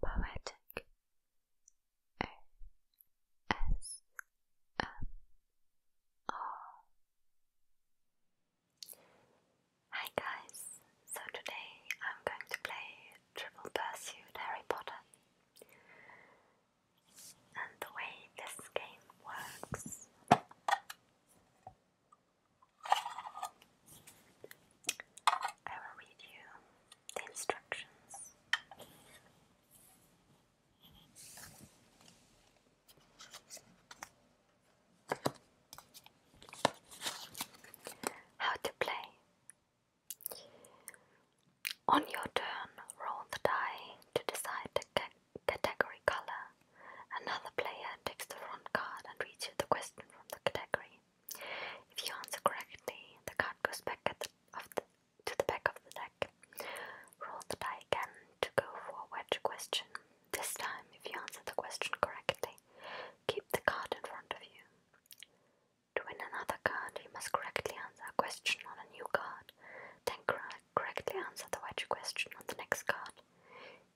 Poetic A S M R Hi guys, so today I'm going to play Triple Pursuit Harry Potter. And the way this game works I will read you the instructions. How to play. On your turn, roll the die to decide the category color. Another player takes the front card and reads you the question from the category. If you answer correctly, the card goes back at of to the back of the deck. Roll the die again to go forward to question. This time, if you answer the question correctly, keep the card in front of you. To win another card, you must correctly answer a question on a new card, then correctly answer the wedge question on the next card.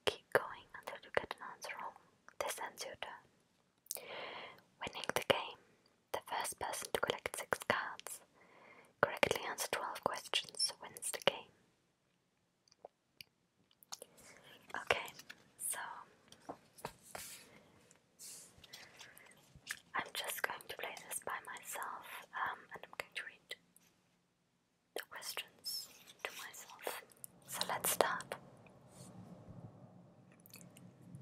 Keep going until you get an answer wrong. This ends your turn. Winning the game. The first person to collect six cards, correctly answer 12 questions, wins the game. Okay, so I'm just going to play this by myself um, and I'm going to read the questions to myself. So let's start.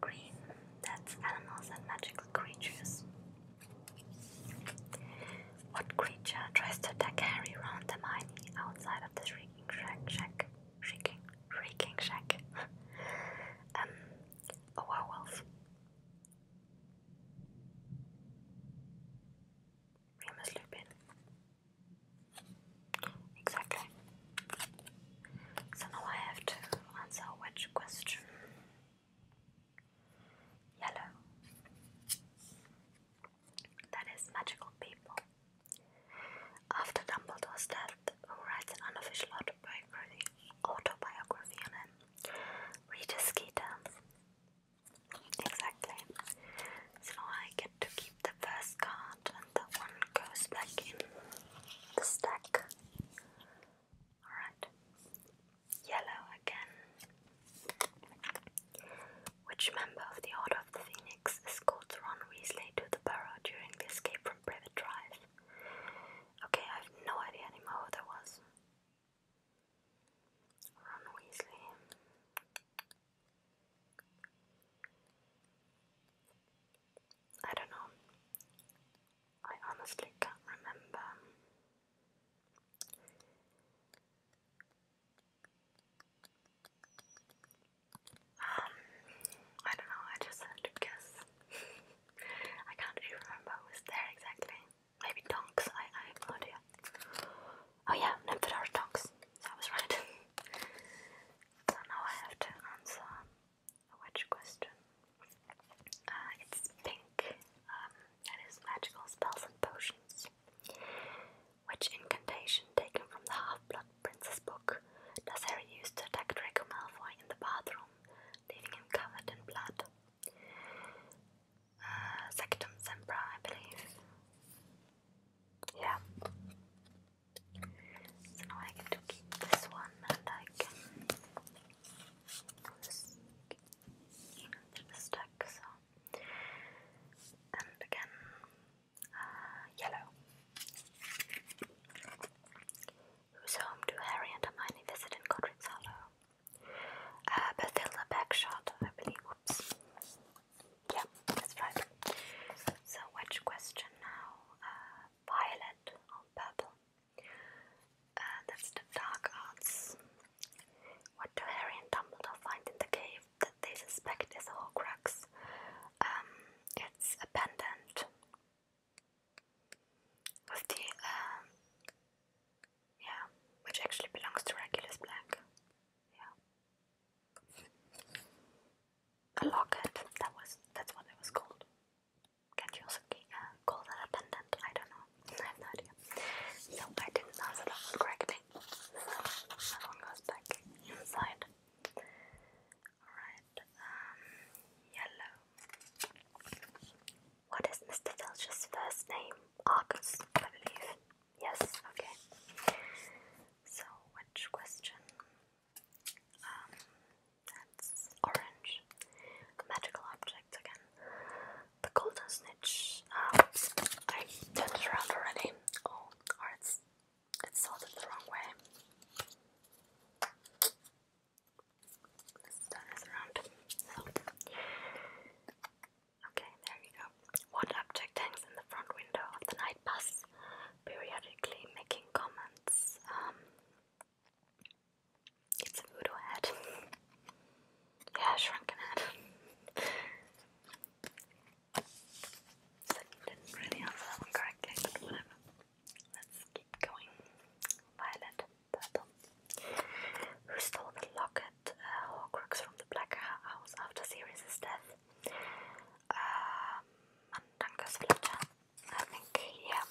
Green, that's animals and magical creatures. What creature tries to attack Harry, Ron, and Hermione outside of the Shrieking Shack? shrieking, shrieking Shack. um, a werewolf. Remus Lupin. Exactly. So now I have to answer which question? Yellow. That is magical people. After Dumbledore's death, who writes an unofficial autobiography, on him, Regis Skeeter Exactly. So now I get to keep the first card and that one goes back in the stack. Alright. Yellow again. Which member of the Order of the Phoenix escorts Ron Weasley to the burrow during the escape from Privet Drive? Okay, I have no idea anymore who that was. Ron Weasley. I don't know. I honestly can't remember. Um, I don't know, I just had to guess. I can't remember who was there exactly. Maybe Tonks, I, I no idea. Oh yeah, nymphs are dogs. was right. so now I have to answer a witch question. Uh, it's pink. Um, that is magical spells and potions. Which incantation taken from the Half-Blood Prince's book does Harry use to attack Draco Malfoy in the bathroom, leaving him covered in blood? uh, Sectum I believe. Yeah. So now I get to keep this one and I can put this the stack. So. And again, uh, yellow. He home to Harry and Hermione visited in Godric's Hollow. Uh, Bethilda Backshot, I believe. Oops. Yeah, that's right. So, which question now? Uh, violet or purple? Uh, that's the dark arts. What do Harry and Dumbledore find in the cave that they suspect is a Horcrux? Um, it's a pendant with the um, yeah, which actually belongs to Regulus Black. Yeah. A locket. That was that's what it was called. can you also uh, call that a pendant? I don't know. I have no idea. So I didn't answer that correctly. that one goes back inside. Alright, um, yellow. What is Mr. Filch's first name? Argus, I believe. Yes, okay. So, which question? Um, that's orange. A magical object again. The golden snitch. Um, I turned it around already. Oh, or it's, it's sorted the wrong way. Let's turn this around. So, Okay, there you go. What object hangs in the front window of the night bus, periodically making comments? Um, it's a voodoo head. yeah, shrunken head. so didn't really answer that one correctly, but whatever. Let's keep going. Violet, purple. Who stole the locket met uh, from the Black House after Sirius' death. Um, and then goes Fletcher. I think, yeah.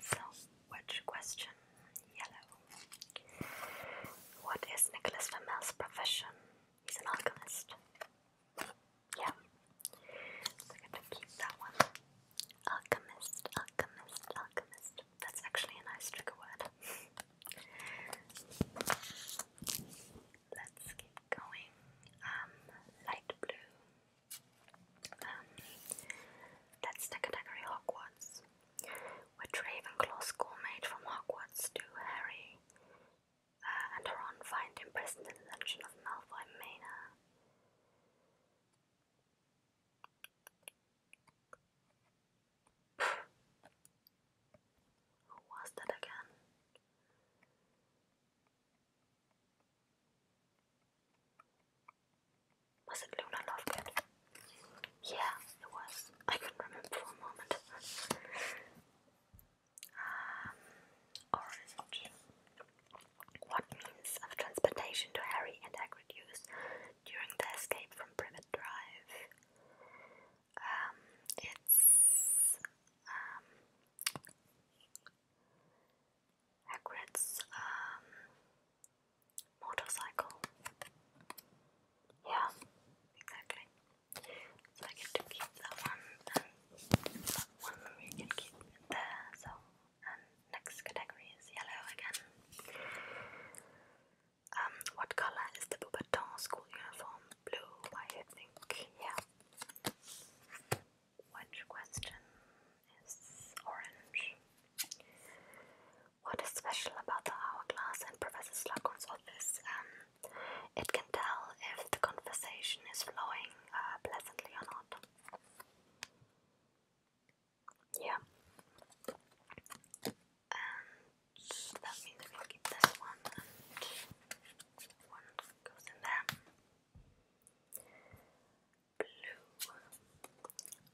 So, which question? Yellow. What is Nicholas Flamel's profession? He's an alchemist. Yeah. So I get to keep that one. Alchemist, alchemist, alchemist. That's actually a nice trigger word. Let's keep going. Um, light blue. Um, that's the category Hogwarts, which Ravenclaw schoolmate from Hogwarts to Harry uh, and Ron find imprisoned in the dungeon of Malfoy Manor. Who was that again? Was it Luna Lovegood? Yeah, it was. I couldn't remember for a moment. um, orange. What means of transportation do Harry and Hagrid use during the escape from Privet Drive. Um, it's um, um, motorcycle. Yeah, exactly. So I get to keep that one, and that one we can keep there. So, next category is yellow again. Um, what color is the Beaubaton school uniform? Blue, I think. Yeah. Which question is orange? What is special about the hourglass in Professor Slughorn's office? Um, it can tell if the conversation is flowing uh, pleasantly or not yeah. And um, that means we keep this one and one goes in there. Blue.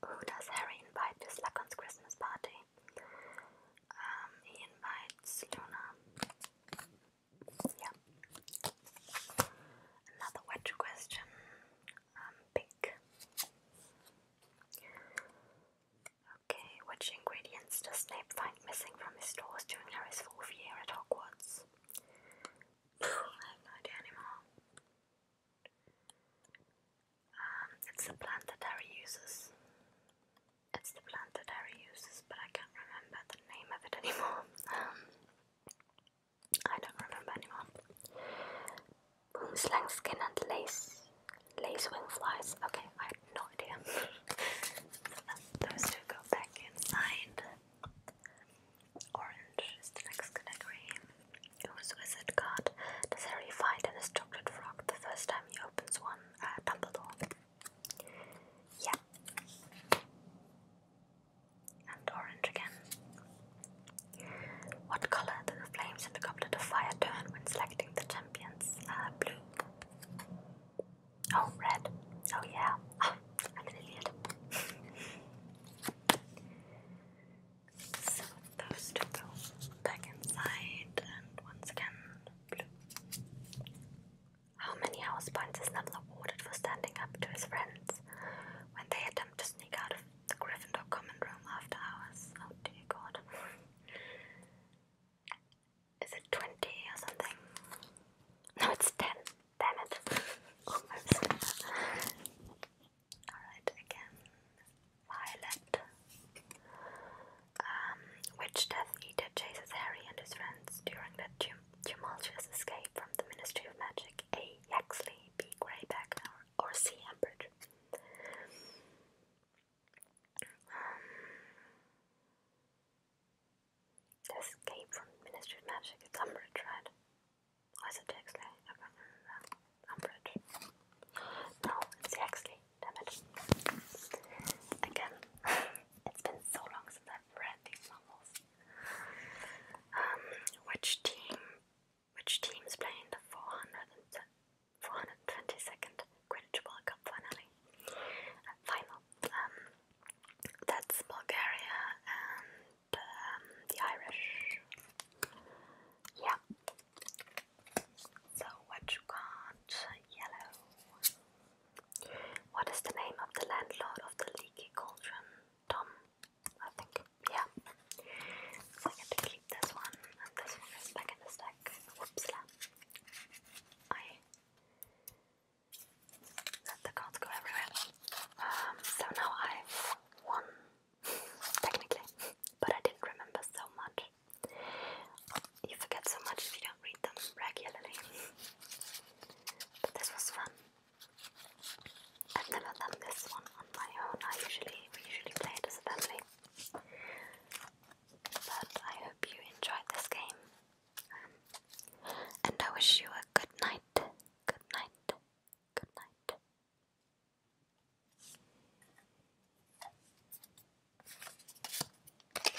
Who does Harry invite to Slughorn's Christmas party? Um, he invites Luna. Yeah. Another question. Um, pink. Okay, which ingredients does Snape find missing from his stores during Harry's fourth year at Hogwarts? I have no idea anymore. Um, it's the plant that Harry uses. It's the plant that Harry uses, but I can't remember the name of it anymore. Um, I don't remember anymore. Boomslang skin and lace, lace wing flies. Okay, I have no idea. Those two go back inside. Orange is the next category. Whose wizard card does Harry find in his frog the first time he opens one? Uh, Dumbledore. Yeah and orange again. What color do the flames in the goblet of fire turn when selecting the champions? Uh, blue. Oh, red. Oh, yeah. Oh, I'm an so those two go back inside, and once again, blue. How many house points is Neville awarded for standing up to his friends when they attempt to sneak out of the Gryffindor common room after hours. Oh dear god. Is it 20 or something? No, it's 10. Damn Almost. Alright, again. Violet. Um, Witch Death Eater chases Harry and his friends during their tumultuous escape from the Ministry of Magic. A. Yaxley, B. Greyback, or sea hampered. Um, from Ministry of Magic. It's right? Or it Exley? I can't remember. Umbridge. No, it's Exley. Damn it. Again, it's been so long since I've read these novels. Um, which team which teams play in the 422nd Quidditch World Cup finale, uh, final. Um, that's Bulgaria and um, the Irish. Yeah. So what you Yellow. What is the name of the landlord of the leaky cauldron? Tom. I think, yeah. So I get to keep this one, and this one is back in the stack. Whoopsla. I let the cards go everywhere. Um, so now I've won, technically, but I didn't remember so much. You forget so much if you don't read them regularly. this was fun. I've never done this one on my own. I usually we usually play it as a family. But I hope you enjoyed this game. and I wish you a good night. Good night. Good night.